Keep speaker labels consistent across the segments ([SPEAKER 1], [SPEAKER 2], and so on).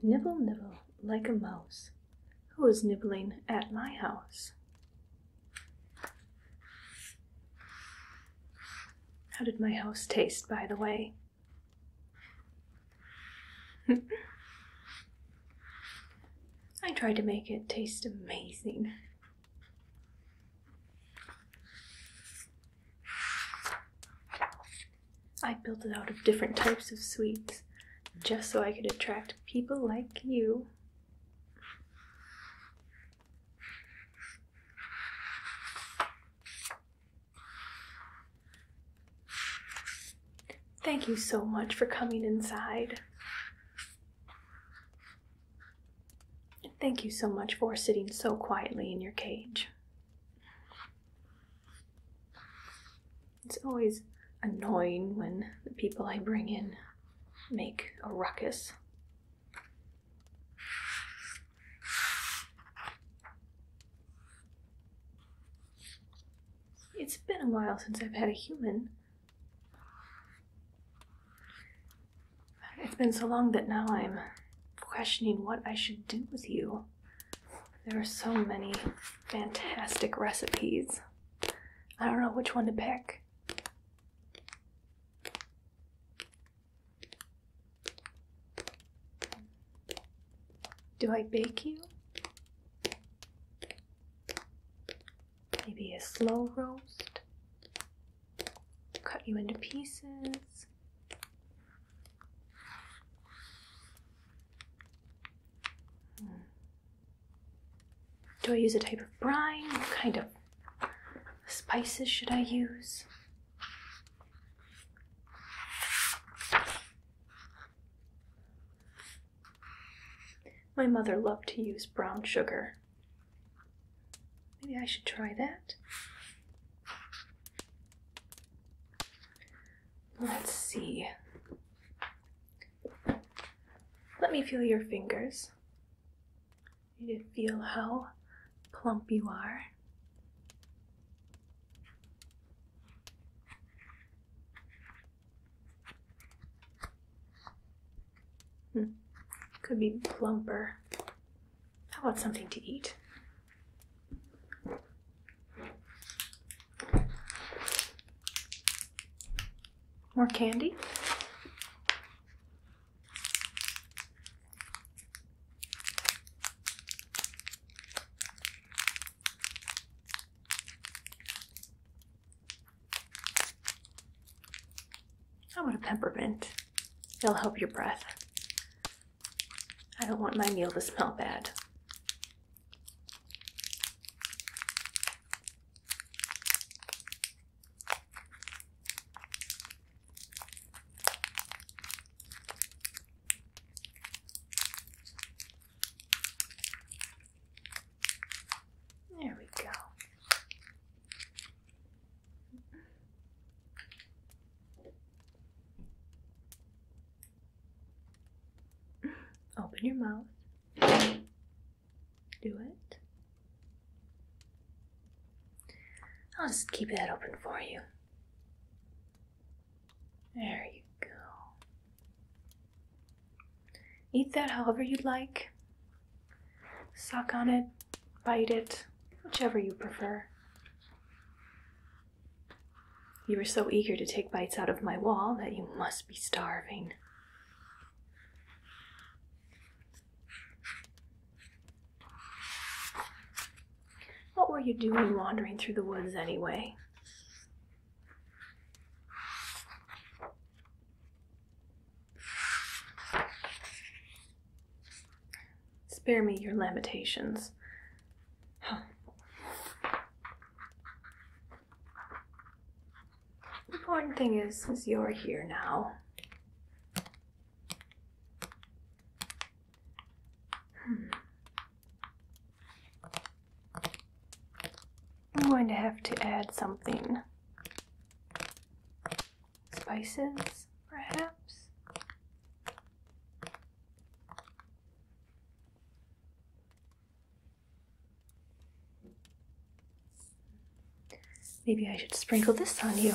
[SPEAKER 1] Nibble, nibble, like a mouse. Who is nibbling at my house? How did my house taste, by the way? I tried to make it taste amazing. I built it out of different types of sweets just so I could attract people like you. Thank you so much for coming inside. thank you so much for sitting so quietly in your cage. It's always annoying when the people I bring in make a ruckus. It's been a while since I've had a human. It's been so long that now I'm questioning what I should do with you. There are so many fantastic recipes. I don't know which one to pick. Do I bake you? Maybe a slow roast? Cut you into pieces? Hmm. Do I use a type of brine? What kind of spices should I use? My mother loved to use brown sugar. Maybe I should try that. Let's see. Let me feel your fingers. You feel how plump you are. Hmm. Could be plumper. I want something to eat? More candy? How about a peppermint? It'll help your breath. I don't want my meal to smell bad. There we go. Open your mouth. Do it. I'll just keep that open for you. There you go. Eat that however you'd like. Suck on it, bite it, whichever you prefer. You were so eager to take bites out of my wall that you must be starving. What were you doing wandering through the woods anyway? Spare me your lamentations. The important thing is, is you're here now. I'm going to have to add something. Spices, perhaps? Maybe I should sprinkle this on you.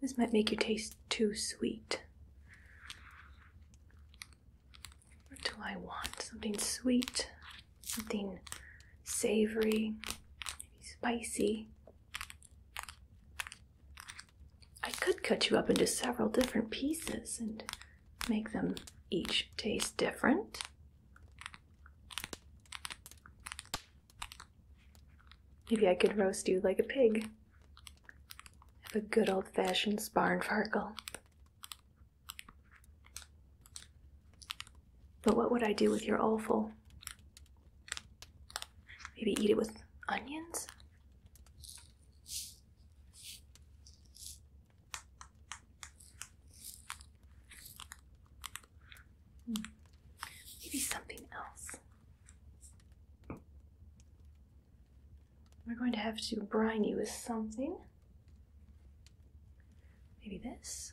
[SPEAKER 1] This might make you taste too sweet. What do I want? Something sweet, something savory, maybe spicy. I could cut you up into several different pieces and make them each taste different. Maybe I could roast you like a pig. Have a good old fashioned sparnfarkle. But what would I do with your offal? Maybe eat it with onions? Maybe something else. We're going to have to brine you with something. Maybe this.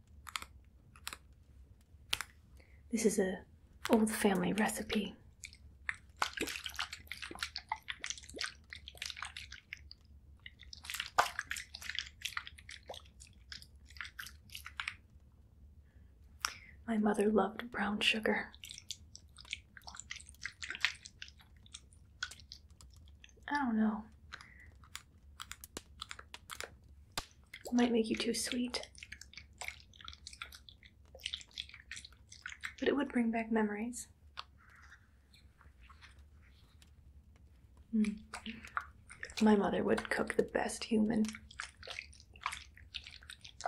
[SPEAKER 1] This is a old family recipe. My mother loved brown sugar. I don't know. It might make you too sweet. But it would bring back memories. Hmm. My mother would cook the best human.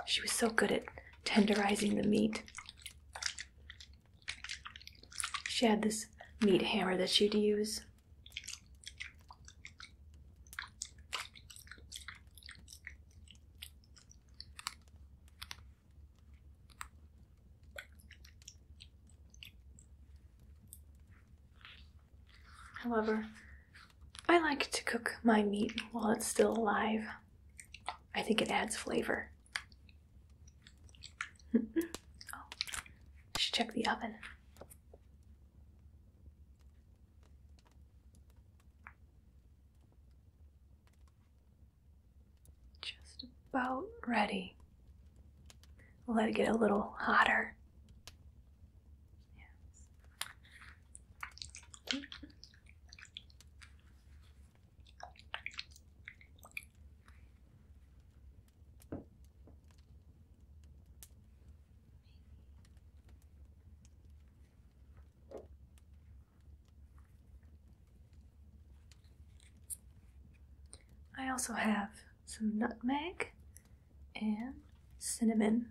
[SPEAKER 1] She was so good at tenderizing the meat. She had this meat hammer that she'd use However, I like to cook my meat while it's still alive. I think it adds flavor. Oh. should check the oven. Just about ready. let it get a little hotter. I also have some nutmeg and cinnamon.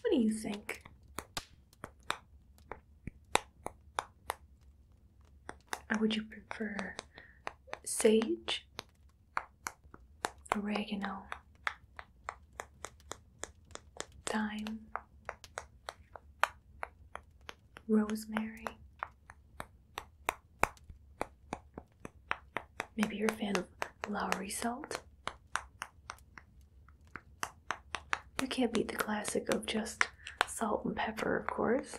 [SPEAKER 1] What do you think? Uh, would you prefer sage, oregano, thyme, rosemary? Maybe you're a fan of Lowry salt. You can't beat the classic of just salt and pepper, of course.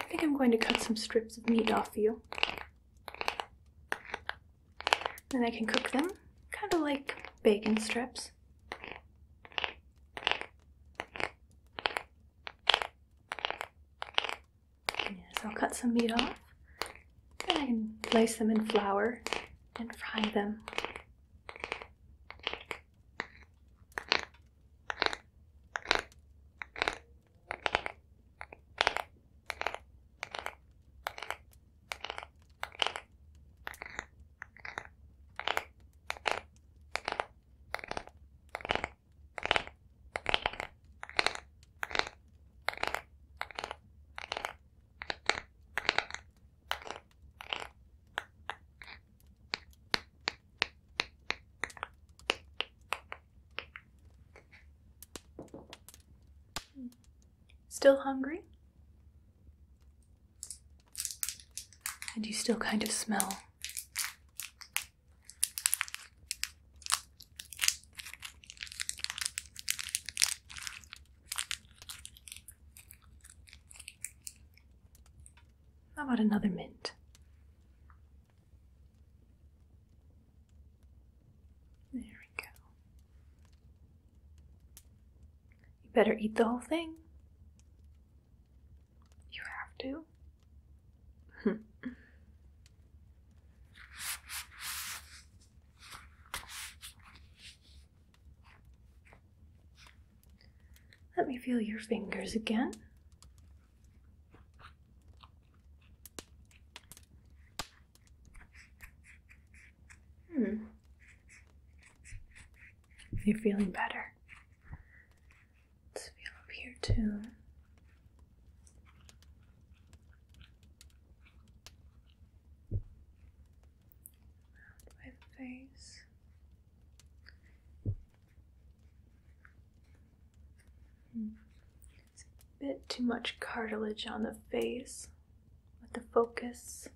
[SPEAKER 1] I think I'm going to cut some strips of meat off you. Then I can cook them, kind of like bacon strips. So I'll cut some meat off and I can place them in flour and fry them. Still hungry? And you still kind of smell How about another mint? There we go. You better eat the whole thing. You have to. Let me feel your fingers again. Hmm you're feeling better. Let's feel up here too. Around my face. Hmm. It's a bit too much cartilage on the face with the focus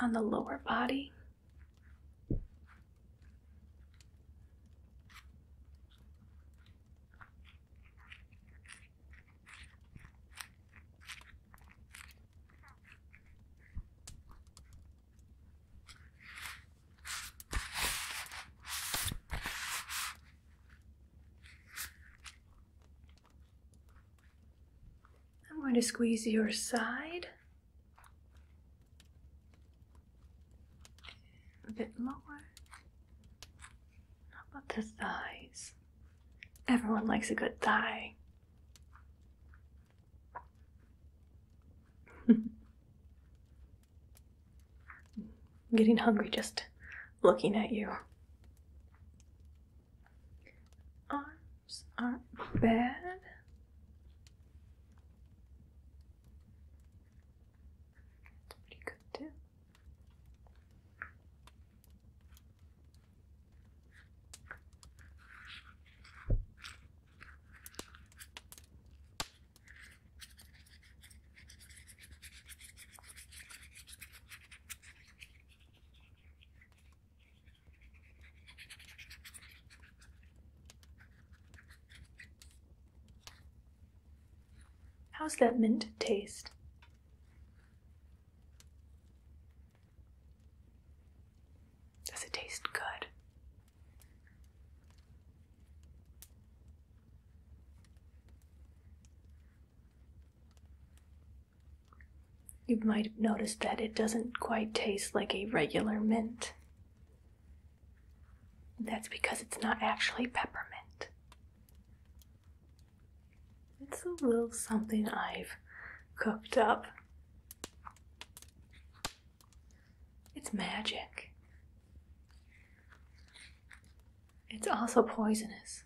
[SPEAKER 1] on the lower body. I'm going to squeeze your side a bit lower. How about the thighs? Everyone likes a good thigh. getting hungry just looking at you arms are not bad. pretty good too. How's that mint taste? Does it taste good? You might have noticed that it doesn't quite taste like a regular mint. That's because it's not actually peppermint. It's a little something I've cooked up. It's magic. It's also poisonous.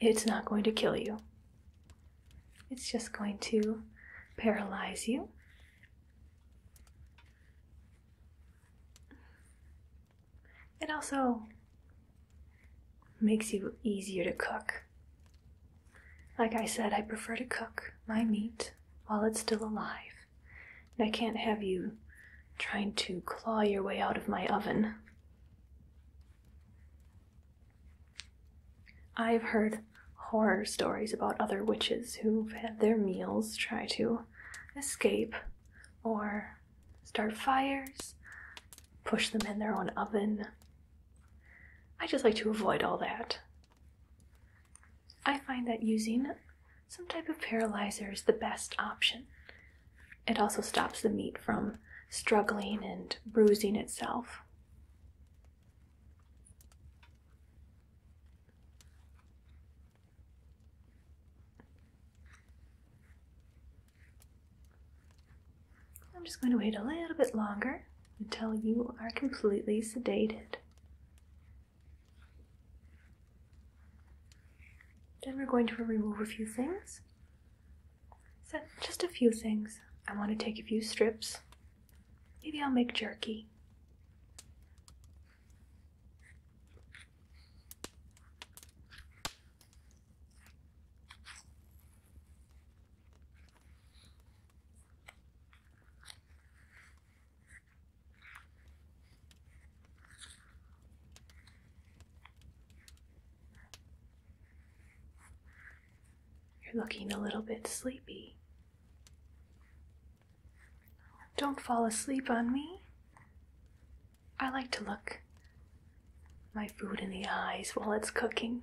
[SPEAKER 1] It's not going to kill you. It's just going to paralyze you. It also makes you easier to cook. Like I said, I prefer to cook my meat while it's still alive. And I can't have you trying to claw your way out of my oven. I've heard horror stories about other witches who've had their meals try to escape or start fires, push them in their own oven. I just like to avoid all that. I find that using some type of paralyzer is the best option it also stops the meat from struggling and bruising itself. I'm just going to wait a little bit longer until you are completely sedated. Then we're going to remove a few things. So just a few things. I want to take a few strips. Maybe I'll make jerky.
[SPEAKER 2] You're looking a little
[SPEAKER 1] bit sleepy. Don't fall asleep on me. I like to look my food in the eyes while it's cooking.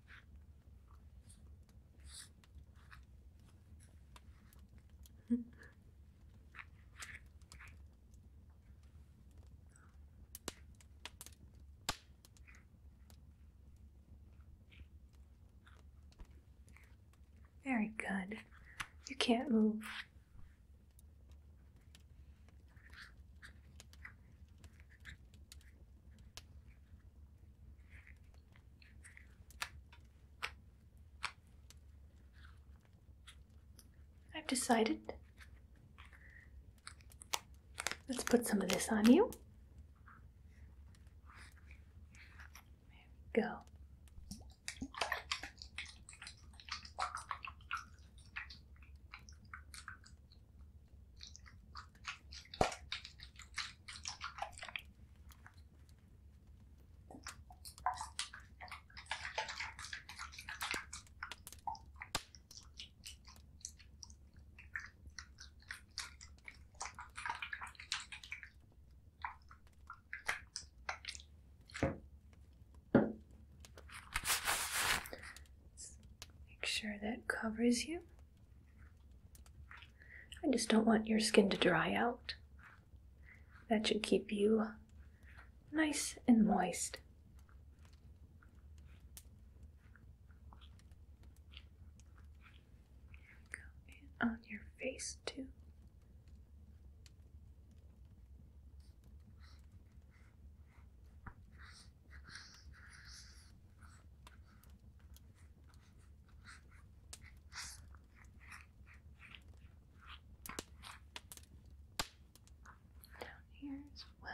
[SPEAKER 1] Very good. You can't move. I've decided. Let's put some of this on you. go. Make sure that covers you. I just don't want your skin to dry out. That should keep you nice and moist. on your face too. Down here as well.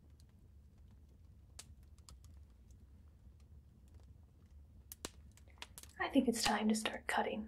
[SPEAKER 1] I think it's time to start cutting.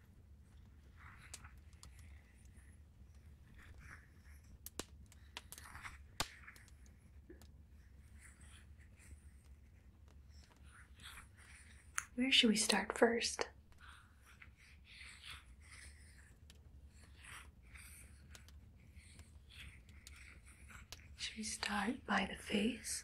[SPEAKER 1] Where should we start first? Should we start by the face?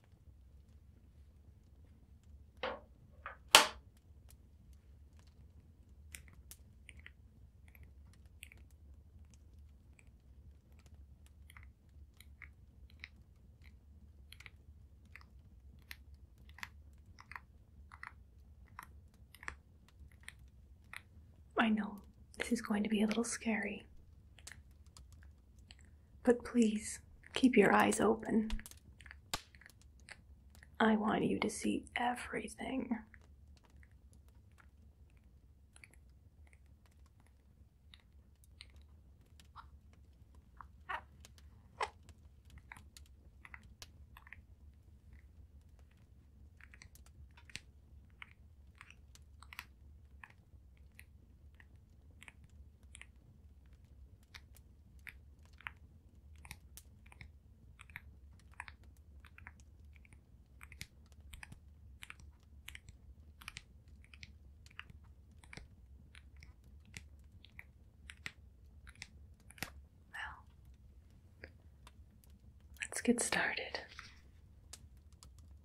[SPEAKER 1] I know this is going to be a little scary. But please keep your eyes open. I want you to see everything. Well, let's get started.